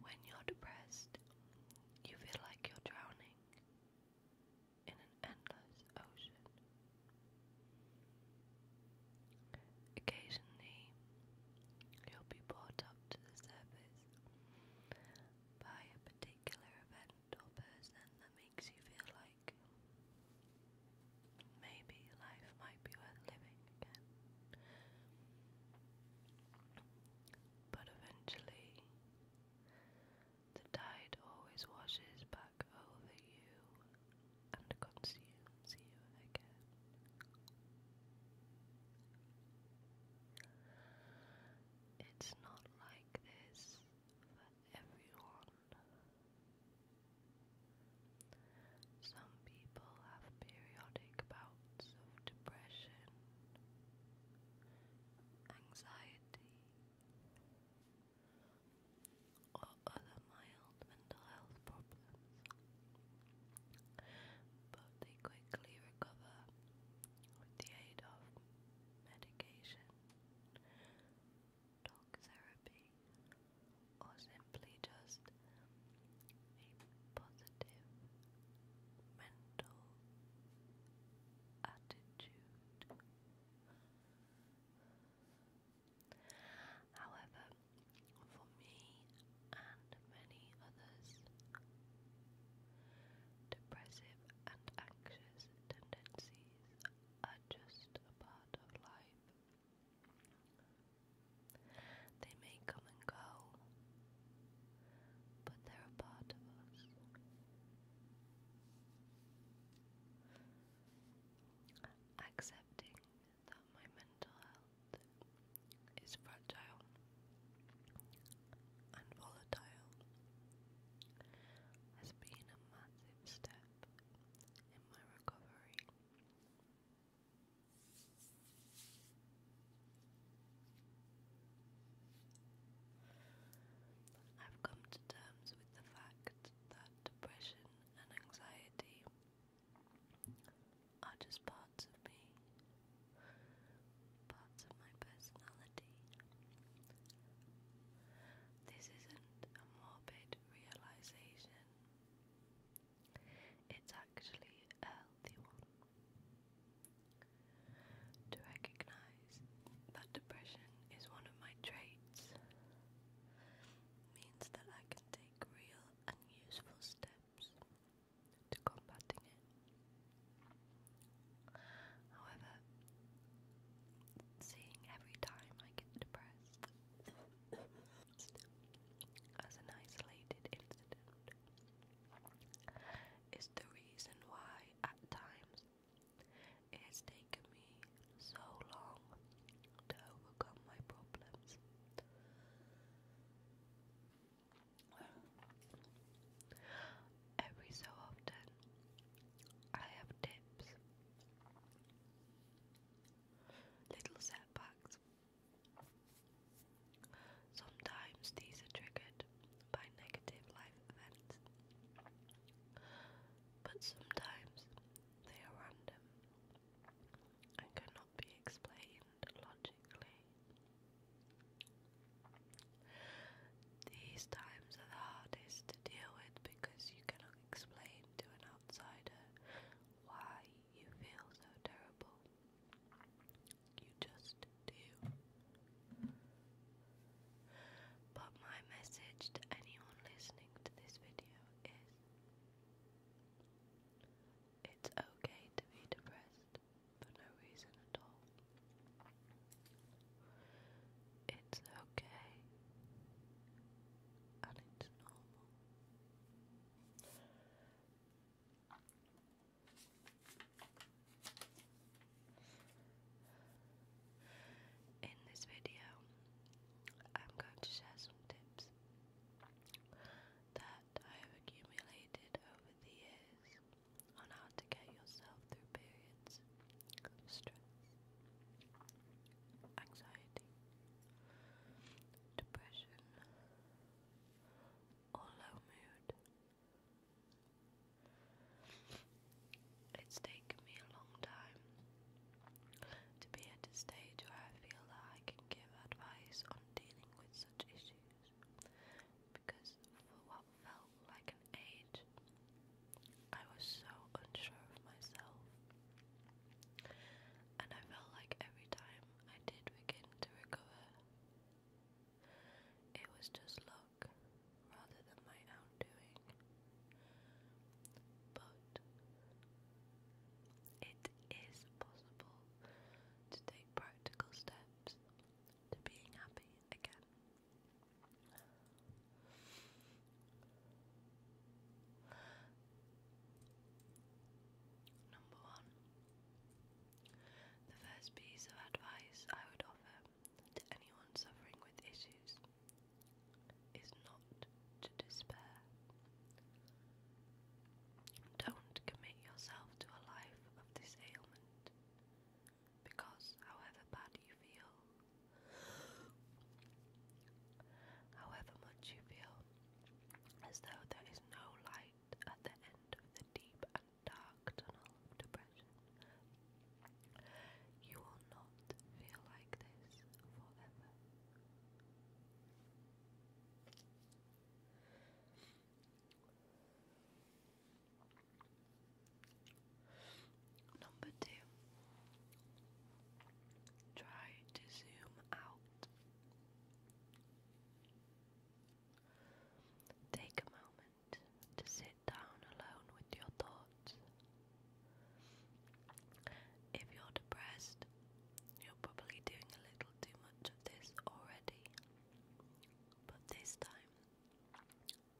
When you're depressed, you feel like you're drowning in an endless ocean. Occasionally, you'll be brought up to the surface by a particular event or person that means makes you feel like maybe life might be worth living again. But eventually, the tide always washes back over you and consumes you again. It's not like this everyone. Some people have periodic bouts of depression, anxiety, or other mild mental health problems, but they quickly recover with the aid of medication talk therapy, or simply just a positive mental attitude. However, for me and many others, depressive and anxious tendencies are just a part of life. They may come and go, but they're a part of us. Accepting that my mental health is fragile and volatile has been a massive step in my recovery. I've come to terms with the fact that depression and anxiety are just parts of me, parts of my personality. This isn't a morbid realization, it's actually a healthy one. To recognize that depression is one of my traits means that I can take real and useful steps to combating it. However, seeing every time I get depressed as an isolated incident is the reason why at times it has taken me so long to overcome my problems every so often I have dips, little setbacks. Sometimes these are triggered by negative life events, but sometimes they are random and cannot be explained logically. These times are the hardest to deal with because you cannot explain to an outsider why you feel so terrible. You just do. But my message to anyone listening to this video is it's okay to be depressed for no reason at all. It's okay, it's normal. In this video, I'm going to share some tips that I have accumulated over the years on how to get yourself through periods stress, anxiety, depression, or low mood. It's taken me a long time to be at a stage where I feel that I can give advice on dealing with such issues because for what felt like an age. I was so unsure of myself. And I felt like every time I did begin to recover, it was just luck rather than my own doing. But it is possible to take practical steps to being happy again. Number one. The first piece of advice I would offer to anyone suffering with issues is not to despair. Don't commit yourself to a life of this ailment. Because however bad you feel, however much you feel as though there is no light at the end of the deep and dark tunnel of depression, you will not feel like this forever. Number two, try to zoom out. Take a moment to sit down alone with your thoughts. If you're depressed, you're probably doing a little too much of this already. But this time,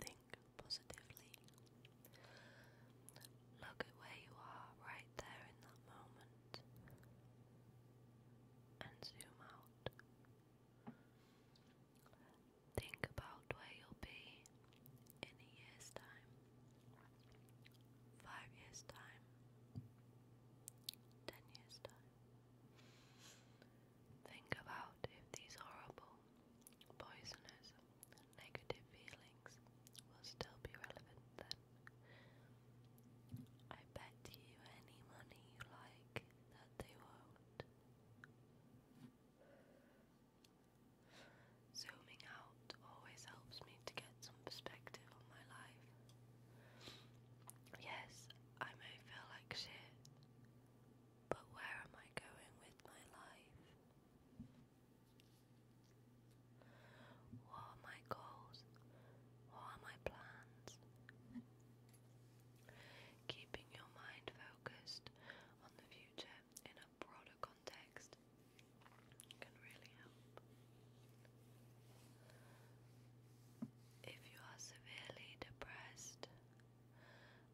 Think positively. Look at where you are right there in that moment and zoom out. Think about where you'll be in a year's time, five years' time, ten years' time. Think about if these horrible, poisonous, negative feelings will still be relevant then. I bet you any money you like that they won't. Zooming out always helps me to get some perspective on my life. Yes, I may feel like shit, but where am I going with my life? What are my goals? What are my plans? Keeping your mind focused on the future in a broader context can really help. If you are severely depressed,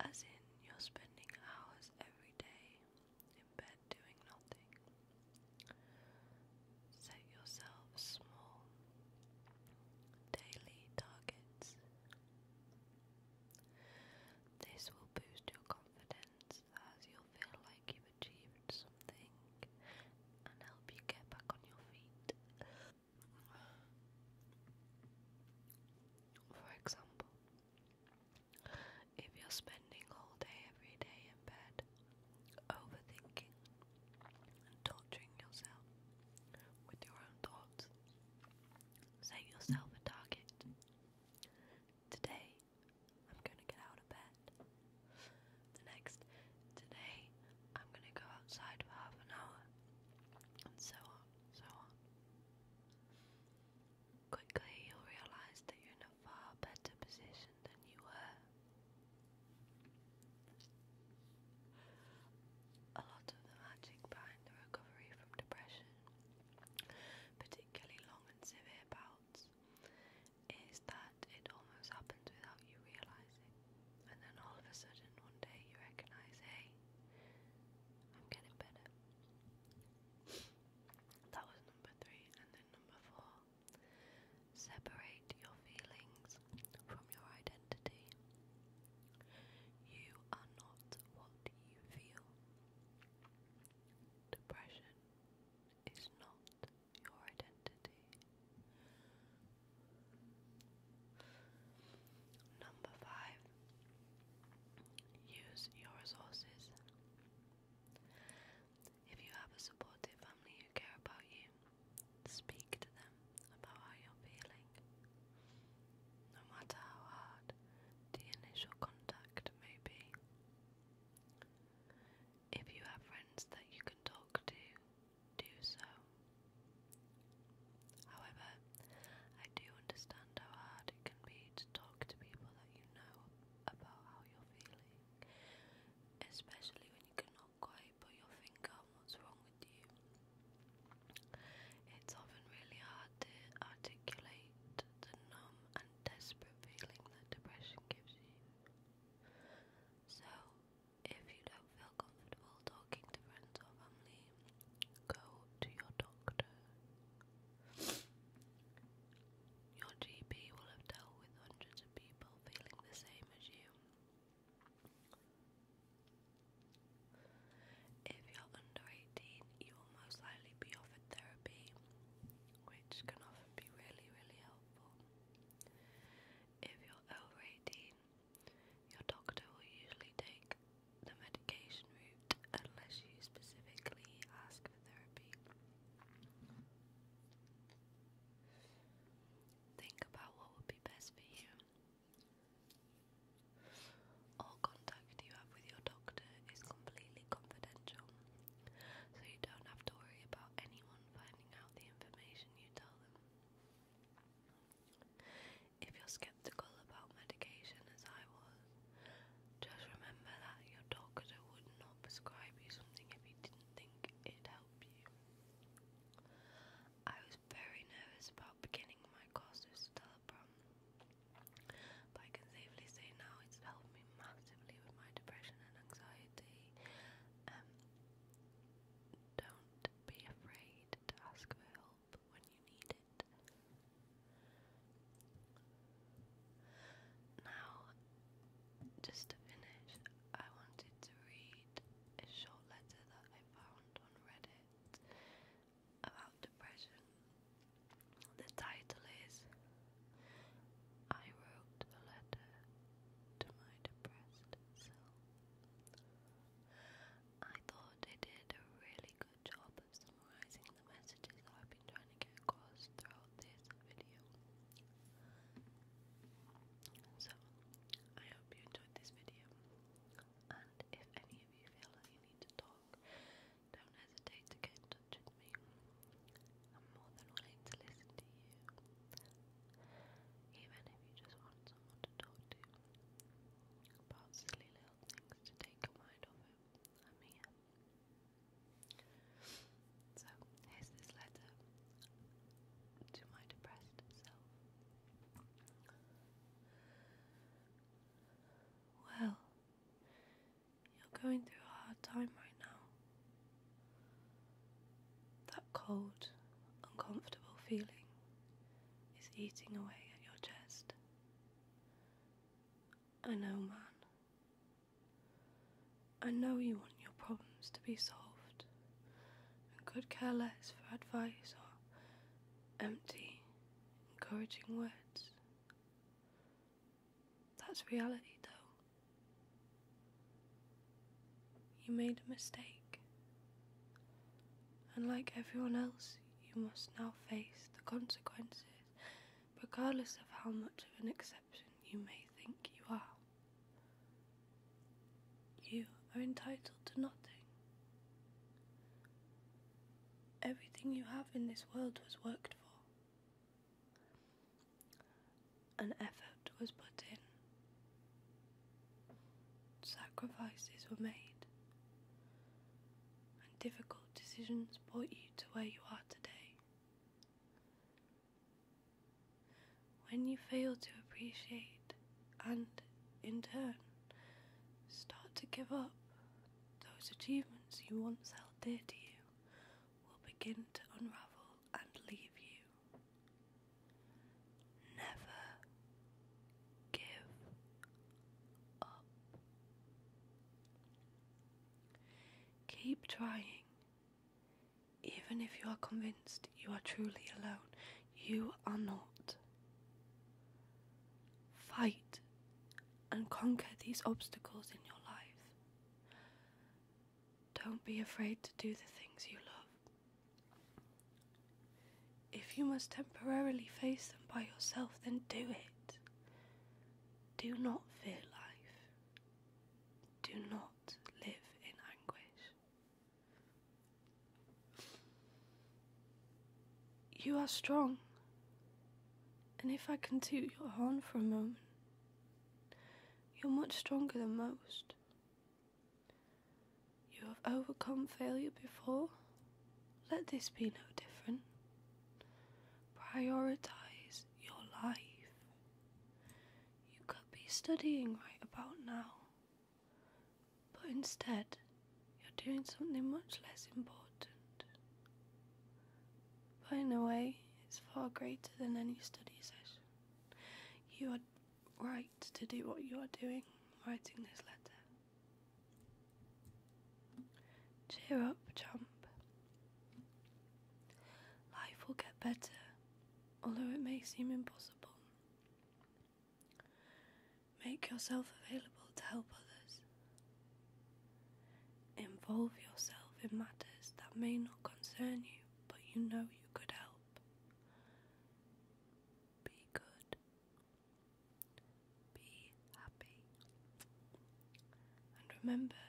as in, you're spending hours every day in bed doing nothing. Set yourself small daily targets. This will boost your confidence as you'll feel like you've achieved something and help you get back on your feet. For example, if you're spending all day every day in bed overthinking and torturing yourself with your own thoughts, set yourself a target. Today, I'm going to get out of bed. The next, today, I'm going to go outside for half an hour. And so on, so on. Quickly, you'll realize that you're in a far better position than you were. A lot of the magic behind the recovery from depression, particularly long and severe bouts, is that it almost happens without you realizing. And then all of a sudden, one day, you recognize hey, I'm getting better. That was number three, and then number four. Separate your feelings from your identity. You are not what you feel. Depression is not your identity. Number five, Use your resources. If you have a supportive family who care about you, speak to them about how you're feeling. No matter how hard the initial contact may be. If you have friends that you can talk to, do so. However, I do understand how hard it can be talk to people that you know about how you're feeling, especially when you cannot quite put your finger on what's wrong with you. It's often really hard to articulate the numb and desperate feeling that depression gives you. So, if you don't feel comfortable talking to friends or family, go to your doctor. Your GP will have dealt with hundreds of people feeling the same as you. If you're under 18, you will most likely be offered therapy, which can often be really, really helpful. If you're over 18, your doctor will usually take the medication route unless you specifically ask for therapy. Think about what would be best for you. All contact you have with your doctor is completely confidential, so you don't have to worry about anyone finding out the information you tell them. If you're skeptical about medication as I was, just remember that your doctor would not prescribe you something if he didn't think it'd help you. I was very nervous about beginning my course of Stelaprom, but I can safely say now it's helped me massively with my depression and anxiety. Um, don't be afraid to ask for help help when you need it. Now, just to finish, I wanted to read a short letter that I found on Reddit about depression. The title is I Wrote a Letter to My Depressed Self. I thought they did a really good job but summarizing the messages that I've been trying to get across throughout this video. So, I hope you enjoyed this video, and if any of you feel like you need to talk, don't hesitate to get in touch with me. I'm more than willing to listen to you, even if you just want someone to talk to about silly little things to take your mind off it. So here's this letter to my depressed self. Well, you're going through a hard time right now. That cold, uncomfortable feeling is eating away at your chest. I know, man. I know you want your problems to be solved and could care less for advice or empty, encouraging words. That's reality, though. You made a mistake, and like everyone else, you must now face the consequences regardless of how much of an exception you may think you are. You are entitled to nothing. Everything you have in this world was worked for. An effort was put in. Sacrifices were made. And difficult decisions brought you to where you are today. When you fail to appreciate and, in turn, start to give up, those achievements you once held dear to you will begin to unravel and leave you. Never give up. Keep trying. Even if you are convinced you are truly alone, you are not. Fight and conquer these obstacles in your life. Don't be afraid to do the things you love. If you must temporarily face them by yourself, then do it. Do not fear life. Do not live in anguish. You are strong. And if I can toot your horn for a moment, you're much stronger than most. You have overcome failure before let this be no different. Prioritize your life. You could be studying right about now, but instead, you're doing something much less important. But in a way, it's far greater than any study session. You are right to do what you are doing, writing this letter. Cheer up, chump. Life will get better, although it may seem impossible. Make yourself available to help others. Involve yourself in matters that may not concern you, but you know you could help. Be good, be happy. And remember,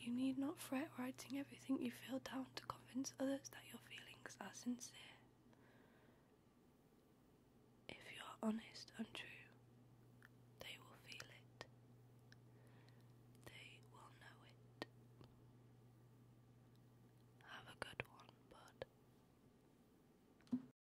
you need not fret writing everything you feel down to convince others that your feelings are sincere. If you are honest and true, they will feel it. They will know it. Have a good one, bud.